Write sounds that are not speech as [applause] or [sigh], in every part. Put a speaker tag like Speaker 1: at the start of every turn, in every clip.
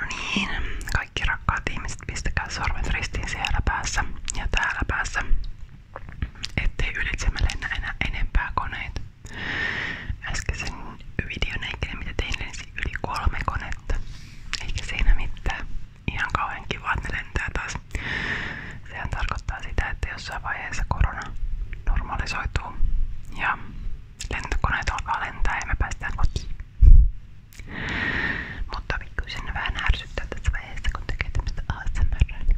Speaker 1: No niin, kaikki rakkaat ihmiset, pistäkää sormet ristiin siellä päässä ja täällä päässä, ettei ylitsemme lennä enää enempää koneita. Äskeisen videon aikana, mitä tein, lensi yli kolme konetta, eikä siinä mitään ihan kauhean kiva, että ne lentää taas. Sehän tarkoittaa sitä, vaiheessa korona normalisoituu ja lentokoneet alkaa lentää ja Mutta kyllä sinne vähän ärsyttää tässä vaiheessa, kun tekee tämmöistä ASMR.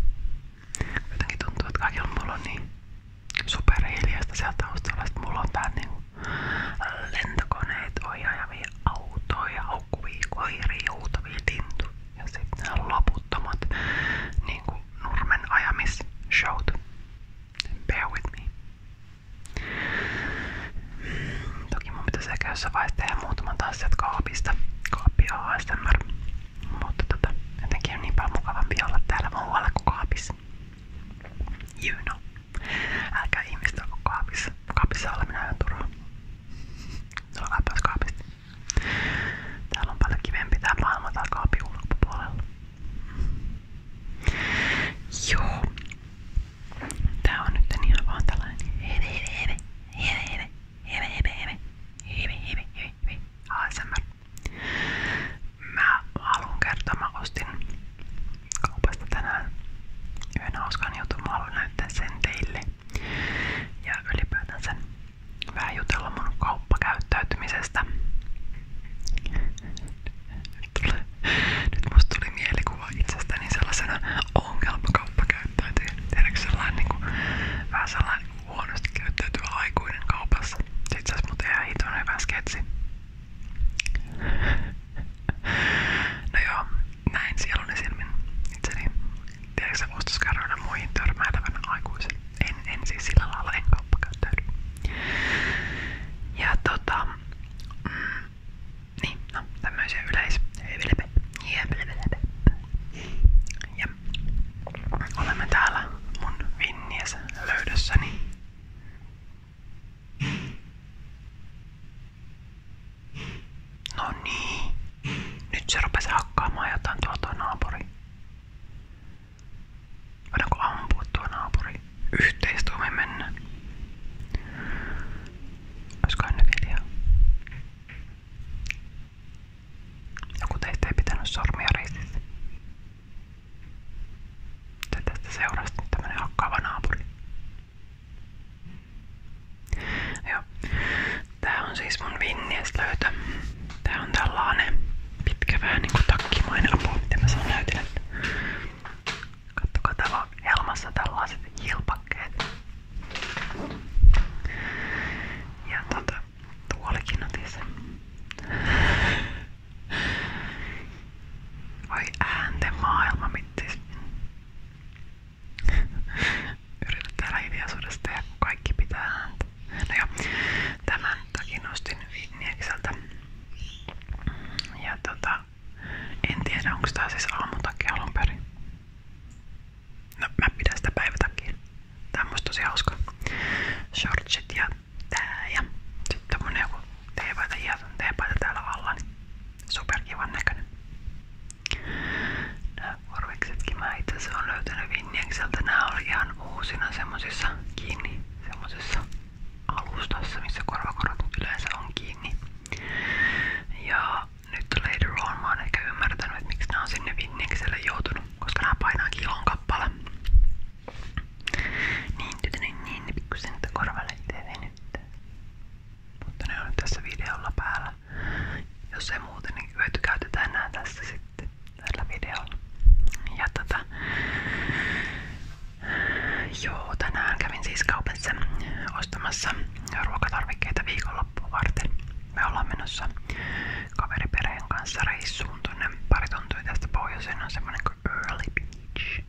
Speaker 1: tuntuu, että kaikilla mulla on niin superhiljaista sieltä taustalla, että mulla on tää niinku lentokoneet ohjaavia autoja, haukkuvia koiria, huutavia tintu ja sitten nämä loputtomat niinku nurmen ajamisshowt. Bear with me. Toki mun pitäisi ehkä jossain vaiheessa tehdä muutaman taas sieltä kaapista. Kaappi on ASMR. Mutta tota, jotenkin on niin paljon mukavampi olla täällä muualla kuin kaapissa. You know. Älkää ihmistä ole kaapissa. Kaapissa oleminen on turhaa. Tuolla läpäiskaapista. Täällä on paljon kivempi tää maailma täällä kaapin ulkopuolella. Joo. Tää on nyt ihan vaan tällainen heve heve heve heve heve heve heve heve heve heve heve heve ASMR. Mä haluan kertoa, mä ostin kaupasta tänään yhden hauskan jutun mä haluan näyttää sen teille. Ja ylipäätänsä vähän jutella mun kauppakäyttäytymisestä. Nyt, tuli, nyt musta tuli mielikuva itsestäni sellaisena ongelmakauppakäyttäytyjä. Tiedätkö sellainen niinku, vähän sellainen huonosti käyttäytyvä aikuinen kaupassa. Itse asiassa mut ihan hitoinen hyvä sketsi. No joo, näin sielunen silmin itseni tiedätkö ostoskärryillä muihin törmäilevänä aikuisen. En, en siis sillä lailla, en kauppakäyttäydy. Ja tota, mm, niin, no tämmöisiä yleis... Ja olemme täällä mun vinnies löydössäni. No niin. Nyt se rupesi hakkaamaan jotain tuolta naapuri. Voidaanko ampua tuo naapuri? Yhteistuumin mennä. Olisikohan nyt idea? Joku teistä ei pitänyt sormia ristissä. Se tästä seurasta tämmönen hakkaava naapuri. Joo. Tää on siis mun vinnieslöytö. Tää on tällainen pitkä vähän niinku takkimainen apu, miten mä sanon näytille. Kattokaa täällä on helmassa tällaiset hilpakkeet. Ja tota, tuolikin otin sen. Voi äänten maailma, mittis. [laughs] Yritän täällä hiljaisuudesta tehdä, kun kaikki pitää ääntä. No joo, tämän takia nostin Vinniekseltä. Ja tota, en tiedä onko tää siis aamutakia alun perin. No mä pidän sitä päivätakia. Tää on musta tosi hauska. Shortsit ja tää ja sitten tommonen joku teepaita, hieton teepaita täällä alla. Niin Superkivan näköinen. Nää korviksetkin mä itse asiassa on löytänyt Vinniekseltä. Nää oli ihan uusina semmosissa kiinni, alustassa, missä korvakorvat yleensä on kiinni. Ja nyt later on mä oon että miksi nää on sinne Vinniekselle koska nää kilon kappale. Niin, tytönen, niin, niin, niin, pikkusen niitä korvalle itse Mutta ne on tässä videolla päällä hyvää. Jos ei muuten, niin hyötykäytetään enää tässä sitten tällä videolla. Ja tota, joo, tänään kävin siis kaupassa ostamassa ruokatarvikkeita viikonloppua varten. Me ollaan menossa kaveriperheen kanssa reissuun tonne pari tuntia tästä pohjoiseen on semmonen kuin Early Beach.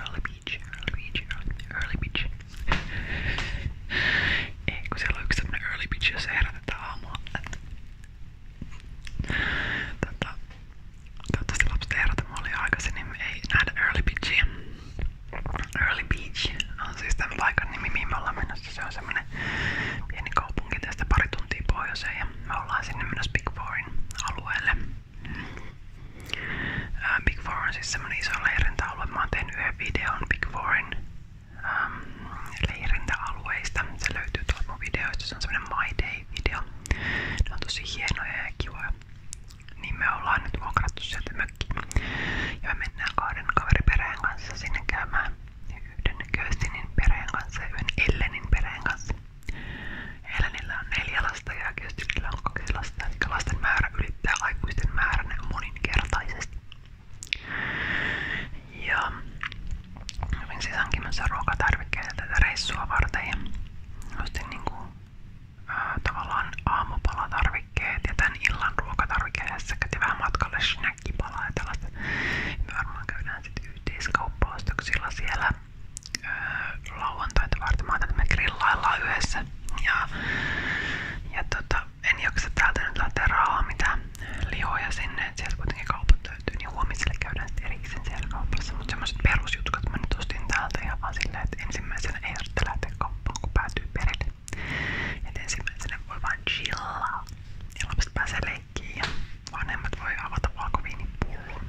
Speaker 1: Early Beach, Early Beach, Early Beach. Ei, kun siellä on early bitch, jossa herätetään aamulla. Et... Tota, toivottavasti lapset ei herätä mua liian aikaisin, niin me early bitchiä. Early Beach on siis tämän paikan nimi, mihin Se on semmonen pieni kaupunki tästä pari tuntia me ollaan sinne menossa Big Fourin alueelle. Big Four on siis semmonen iso leirintäalue. Mä oon tehnyt yhden videon Big Fourin ähm, leirintäalueista. videoista. Se on semmonen My Day-video. Ne on tosi Niin me ollaan nyt vuokrattu sieltä mökkiin. Ja me mennään kahden kaveriperheen kanssa sinne perheen kanssa ja yhden perheen kanssa. Ellenillä on neljä lasta ja Köstinillä kaksi lasta. Eli lasten määrä ylittää aikuisten määrän moninkertaisesti. Ja olin siis hankimassa ruokatarvikkeita tätä reissua varten ostin niinku, ää, tavallaan aamupalatarvikkeet ja tän illan ruokatarvikkeet ja vähän matkalle snackipalaa ja tällaista. Me sitten yhteiskauppaostoksilla siellä ää, lauantaita me grillaillaan yhdessä ja, ja tota, en jaksa täältä nyt laittaa rahaa mitään lihoja sinne, että sieltä kuitenkin kaupat löytyy, niin huomiselle käydään sitten erikseen siellä kaupassa. Mutta semmoset perusjutkat mä nyt ostin täältä ja vaan silleen, että ensimmäisenä ei tarvitse lähteä kauppaan, kun päätyy perille. Et voi vaan chillaa ja lapset vanhemmat voi avata valkoviinipullon.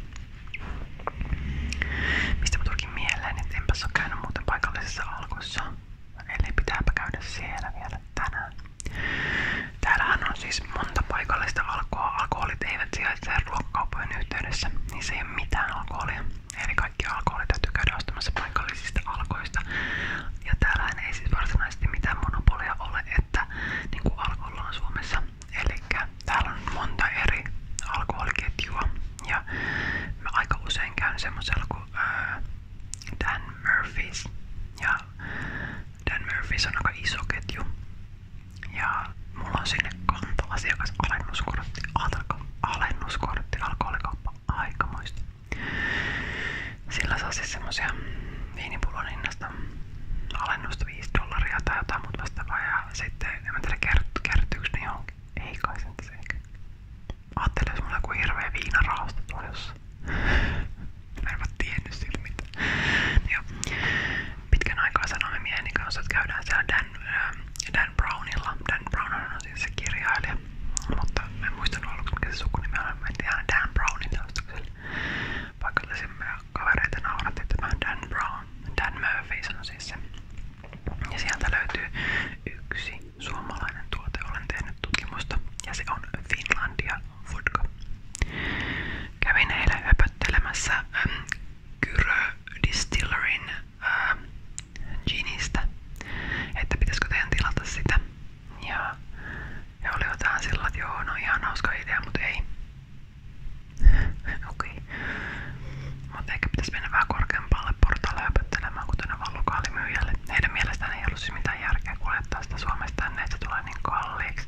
Speaker 1: Mistä mä tulkin mieleen, että enpäs oo käynyt muuten paikallisessa alkossa. Eli pitääpä käydä siellä vielä tänään. Täällähän on siis monta paikallista alkoa. Alkoholit eivät sijaitse ruokakauppojen yhteydessä, niin se ei ole mitään alkoholia. Eli kaikki alkoholit täytyy käydä ostamassa paikallisista alkoista. Ja täällähän ei siis varsinaisesti mitään monopolia ole, että niin kuin alkoholla on Suomessa. Eli täällä on monta eri alkoholiketjua. Ja mä aika usein käyn semmoisella kuin öö, Dan Murphys. Ja Dan Murphys on aika iso ketju. Ja mulla on sinne kanta-asiakas alennuskortti. Alko, alennuskortti alkoholikauppa aikamoista. Sillä saa siis semmosia viinipullon hinnasta alennusta 5 dollaria tai jotain muuta vastaavaa. Ja sitten en mä tiedä kertyykö ne johonkin. Ei kai se ehkä. Ajattelin, mulla on joku hirveä Mä en mä tiennyt siitä mitään. Jo. sanomme mieheni kanssa, että siellä ähm, Dan, Brownilla. Dan Brown on siis se kirjailija. Mutta mä en muistanut aluksi, mikä se sukunimi on. Dan Brownin taustakselle. Paikallisimme kavereita nauratti tämän Dan Brown. Dan Murphy on siis se. Ja sieltä löytyy yksi, suomalainen tuote, olen tehnyt tutkimusta ja se on Finlandia vodka. Kävin eilen höpöttelemässä ähm, Kyrö ähm, että pitäisikö teidän tilata sitä. Ja he olivat vähän sillä, että joo, no idea, mutta ei. [laughs] Okei. Okay. Mutta ehkä pitäisi mennä vähän korkeampaan omalle portaalle höpöttelemään, kuten vaan lokaalimyyjälle. Heidän mielestään ei ollut siis mitään järkeä kuljettaa sitä Suomesta tänne, että se tulee niin kalliiksi.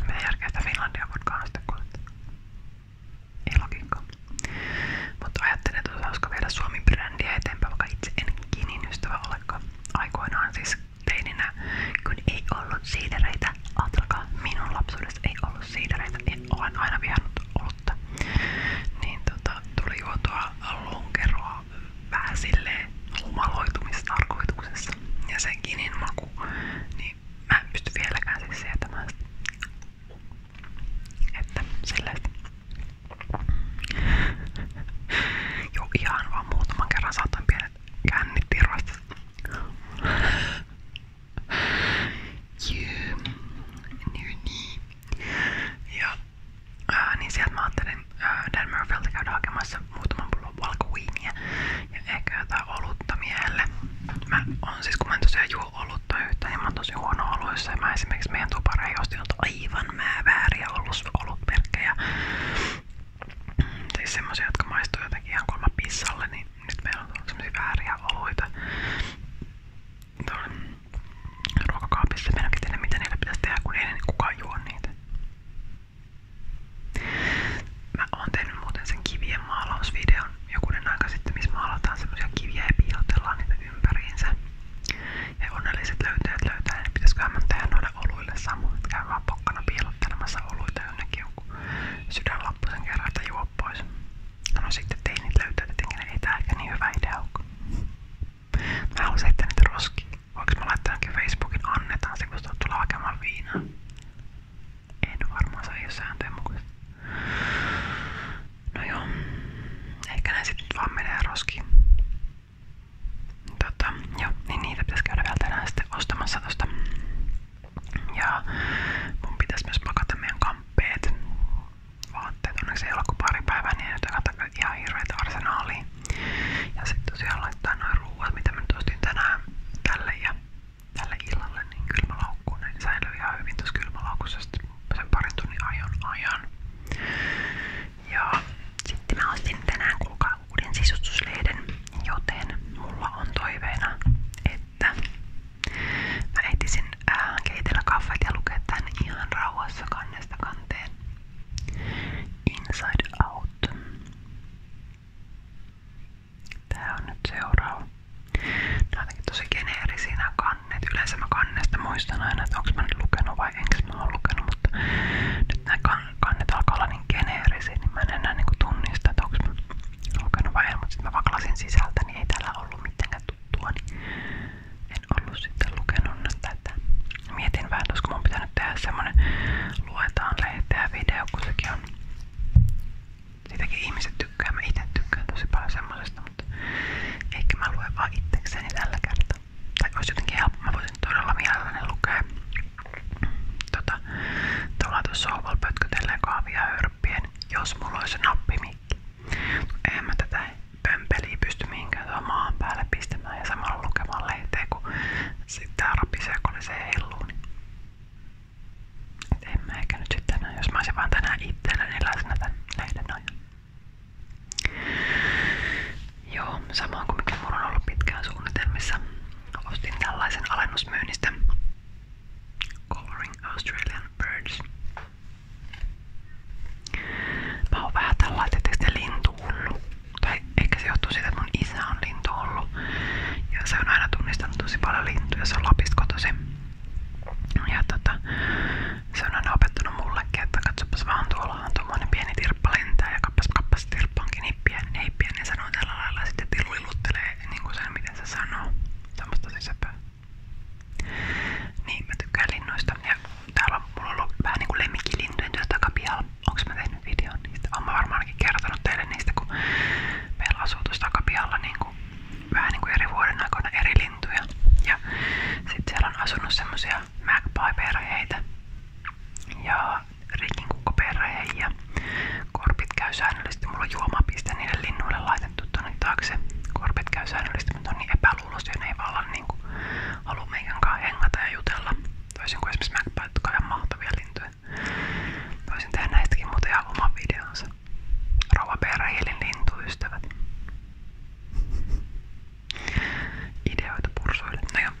Speaker 1: No mitä järkeä sitä Finlandia voidaan sitten kuljettaa? Ei logiikkaa. Mutta ajattelin, että osaisiko viedä Suomen brändiä eteenpäin, vaikka itse en kinin ystävä olekaan. Aikoinaan siis teininä, kun ei ollut siidereitä, ajatelkaa minun lapsuudessa ei ollut siidereitä, niin olen aina vihannut vuotta. Niin tota, tuli juotua lonkeroa vähän silleen humaloitumistarkoituksessa. Ja sen kinin maku, niin mä en pysty vieläkään siis sietämään sitä. Että sellaista. Joo, ihan vaan muutaman kerran saatan pienet kännit irvasta. Jee, niin, niin. Ja Ää, niin sieltä mä ajattelin Dan Murphyltä käydä hakemassa muutaman pullon valkoviiniä ja ehkä jotain olutta miehelle. Mä on siis, kun mä en tosiaan juo olutta yhtään, niin mä oon tosi huono oluissa ja mä esimerkiksi meidän tupareihin ostin aivan mä vääriä ollut olutmerkkejä. Mm, siis semmosia, jotka maistuu jotenkin ihan kolma pissalle, niin nyt meillä on semmosia vääriä oluita ruokakaapissa menokin tiedä mitä niillä pitäisi tehdä, kun ei niin kukaan juo niitä. Mä oon tehnyt muuten sen kivien maalausvideon jokunen aika sitten, missä maalataan semmosia kiviä ja piilotellaan niitä ympäriinsä. Ja onnelliset löytäjät löytää, niin pitäisiköhän mä tehdä noille oluille samoin, että käy vaan pokkana piilottelemassa oluita jonnekin jonkun sydänlappusen kerran, että juo pois. No, no sitten teinit löytää tietenkin, ei tää ehkä niin hyvä idea ole. Mä haluaisin heittää niitä roskiin. Voinko mä laittaa Facebookin annetaan se, kun tulla hakemaan viinaa? En varmaan, se ei ole sääntöjen mukaista. No joo, ehkä näin sitten vaan menee roskiin. Tota, joo, niin niitä pitäisi käydä vielä tänään sitten ostamassa tosta. Ja mun pitäisi myös pakata meidän kamppeet vaatteet. Onneksi ei ollut kuin pari päivää, niin ei nyt ihan hirveitä arsenaalia. Ja sitten tosiaan laittaa noin ruuat, mitä mä nyt ostin tänään tälle ja tälle illalle, niin kylmälaukkuun. Ne säilyy ihan hyvin tuossa kylmälaukussa sen parin tunnin ajon ajan. Ja sitten mä ostin tänään kuulkaa uuden sisustuslehden, joten mulla on toiveena, että mä ehtisin äh, keitellä kahvet ja lukea tän ihan rauhassa kannesta kanteen. Inside Out. Tää on nyt seuraava. Nää on tosi geneerisiä nämä kannet. Yleensä mä kannesta muistan aina, että onko mä nyt lukenut vai enkö mä oon lukenut, mutta nyt nämä kannet alkaa olla niin geneerisiä, niin mä en enää niinku tunnista, että onko mä lukenut vai en, mutta sitten mä vaklasin sisältä, niin ei täällä ollut mitenkään tuttua. Niin en ollut sitten lukenut tätä. Mietin vähän, koska mun pitänyt tehdä semmonen luetaan lehteä video, kun Siitäkin ihmiset tykkää, mä itse tykkään paljon semmosesta, mutta ehkä mä luen vaan Tai olisi jotenkin helppo, mä voisin todella mielelläni lukea. Tota, tuolla tuossa jos mulla olisi nappimikki. Eihän mä tätä pömpeliä pysty mihinkään tuohon maan päälle pistämään ja samalla lukemaan lehteen, kun sitten tää rapisee, kun oli se helluu. Niin. Et en mä ehkä nyt sitten tänään, jos mä olisin vaan tänään itselleni läsnä tän lehden ajan. Joo, sama kuin mikä mulla on ollut pitkään suunnitelmissa. Ostin tällaisen alennusmyynnistä Coloring Australian Birds Mä oon vähän tällainen, Tai ehkä se johtuu että mun isä on lintuhullu. Ja se on aina tunnistanut tosi paljon lintuja, se on Lapista kotosi. Tota, se on aina opettanut mullekin, että vaan tuolla on tuommoinen pieni tirppa ja kappas kappas tirppa pieni, niin pieni ja sitten tiluliluttelee niin kuin sen miten se sanoo. Semmosta sisäpää. Niin mä tykkään linnoista täällä mulla on ollut vähän niinku lemmikkilintujen työ takapihalla. Onks mä tehnyt videon niistä? Oon mä varmaankin kertonut teille niistä, kun meillä asuu tuossa takapihalla niinku, vähän niinku eri vuoden aikoina eri lintuja. Ja sit siellä on asunut semmosia magpie-perheitä ja rikinkukkoperhe ja korpit käy säännöllisesti. Mulla on juomapiste niille linnuille laitettu tonne taakse. Korpit käy säännöllisesti, mutta on niin epä mennään ulos ja ne ei vaan niinku halua meidän kanssa hengata ja jutella. Toisin kuin esimerkiksi Macbeth, jotka on ihan mahtavia lintuja. Voisin tehdä näistäkin muuten ihan oman videonsa. Rauha Perähielin lintuystävät. Ideoita pursuille. No joo.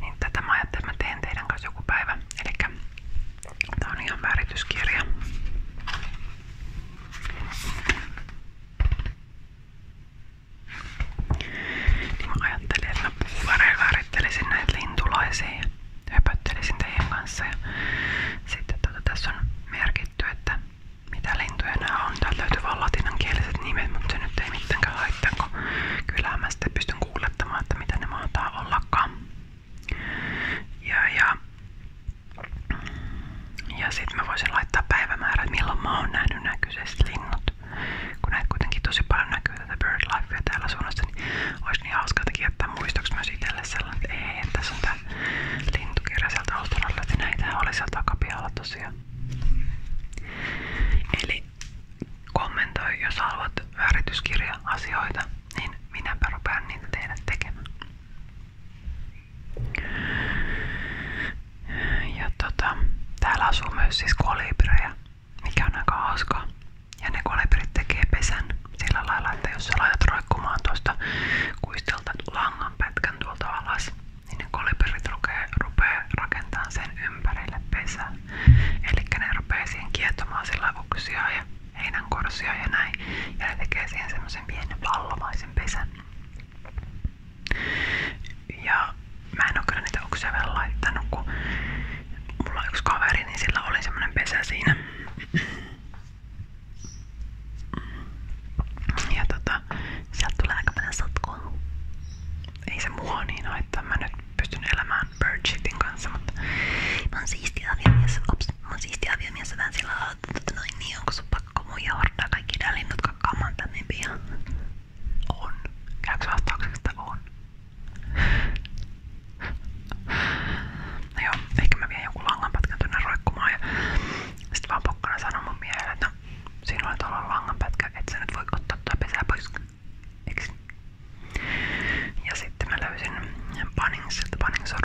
Speaker 1: Niin tätä mä ajattelin, että mä teen teidän kanssa joku päivä. Elikkä tää on ihan värityskirja. Niin mä ajattelin, että mä värittelisin näitä lintulaisia ja höpöttelisin teidän kanssa. Ja sitten tuota, tässä on merkitty, että mitä lintuja nämä on. Täällä löytyy vaan latinankieliset nimet, mutta se nyt ei mitenkään haittaa, kun kyllä mä sitten pystyn kuulettamaan, että mitä ne mahtaa ollakaan. Ja, ja ja sit mä voisin laittaa päivämäärät, milloin mä oon nähnyt nää kyseiset linnut. Kun näitä kuitenkin tosi paljon näkyy tätä BirdLifea täällä suunnassa, niin olisi niin hauska jotenkin jättää muistoksi myös itselle sellainen, että ei, että tässä on tää lintukirja sieltä Australiasta, näitähän oli sieltä takapialla tosiaan. Eli kommentoi, jos haluat värityskirja-asioita, niin minäpä rupean niitä teidän tekemään. Ja tota, täällä asuu myös siis kolibrejä, mikä on aika hauskaa. Ja ne kolibrit tekee pesän sillä lailla, että jos sä laitat roikkumaan tuosta kuistelta langan pätkän tuolta alas, niin ne kolibrit rupeaa rupea rakentamaan sen ympärille pesää. Eli ne rupeaa siihen kietomaan sillä uksia ja heinänkorsia ja näin. Ja ne tekee siihen semmoisen pienen pallomaisen pesän. Ja mä en oo kyllä niitä oksia vielä laittanut, kun mulla on yksi kaveri, niin sillä oli semmonen pesä siinä. Ja tota, sieltä tulee aika paljon sotkua. Ei se mua niin haittaa, mä nyt pystyn elämään birdshitin kanssa, mutta mä oon siisti aviomies, ops, mä oon siisti aviomies vähän sillä lailla, että tota noin niin, onko sun pakko mun ja hordaa kaikki nää linnut kakkaamaan tänne niin pian. On. Käykö vastaukseksi, on? No joo, ehkä vien jonkun langanpätkän tonne roikkumaan vaan pokkana sanon mun miehelle, että no, siinä oli tuolla langanpätkä, voi ottaa tuota pesää Ja sitten mä löysin Panningsilta, Pannings on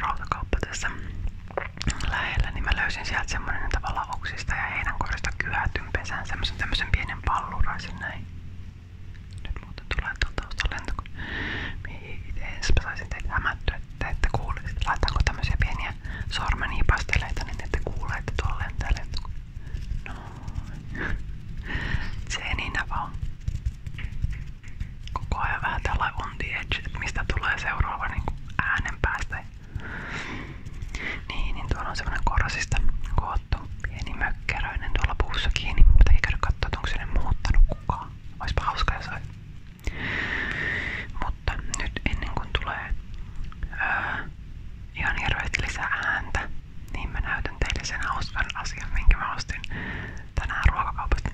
Speaker 1: lähellä, niin mä löysin sieltä semmonen tavallaan oksista ja heinänkorista kyhäty pesään semmosen tämmösen pienen palluraisen näin. Nyt muuten tulee tuolta taustan lentokone. Ensinpä saisin teitä hämättyä, että ette kuule. Sitten laitaanko tämmösiä pieniä sormenipasteleita, niin ette kuule, että tuolla lentää lentokone. Noin. [laughs] Seninä vaan. Koko ajan vähän tällä on the mistä tulee seuraava niin äänen päästä. Niin, niin tuolla on semmonen korasista koottu pieni mökkeröinen tuolla puussa kiinni, mutta ei käydä katsoa, onko sinne muuttanut kukaan. Oispa hauska jos olisi. Mutta nyt ennen kuin tulee öö, ihan hirveästi lisää ääntä, niin mä näytän teille sen hauskan asian, minkä mä ostin tänään ruokakaupasta.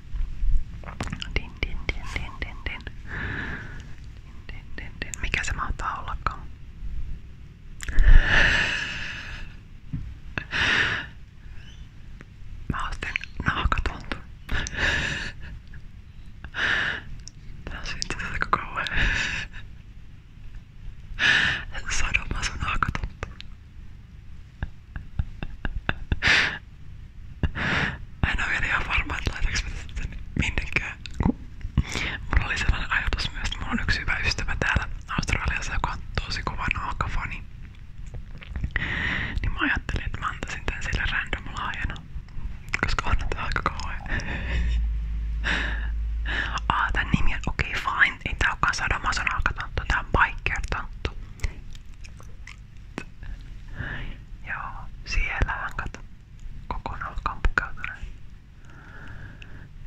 Speaker 1: Din, din, din, din, din, din. Mikä se mahtaa ollakaan? Mä ostin nahkatontun. Tää on siitä aika kauan. Sadoma en oo vielä varma, että laitaks mä sitten Mulla oli sellainen ajatus myös, että mulla on yksi hyvä ystävä täällä Australiassa, joka on tosi kova naakafani. Niin mä ajattelin, että mä antaisin tän sille random laajana. Koska on tää aika kauhean. Aa, tän nimi on okei okay, fine. Ei tää ookaan sadomason alkatanttu, tää on biker-tanttu. Joo, siellähän kato. Kokonaan kamppikautuneet.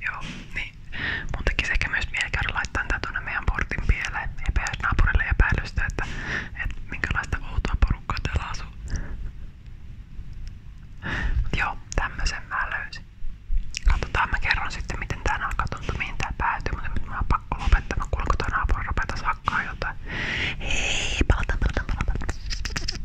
Speaker 1: Joo, niin. Mun tekisi ehkä myös mieli käydä laittaa tää tuonne meidän portin pieleen naapurille epäilystä, että, että minkälaista outoa porukkaa täällä asuu. Mut joo, tämmösen mä löysin. Katsotaan, mä kerron sitten miten tää alkaa tuntua, mihin tää päätyy, mutta nyt mä oon pakko lopettaa, mä kuulen kun toi naapuri rupetas hakkaa jotain. Hei, palataan, palataan, palataan.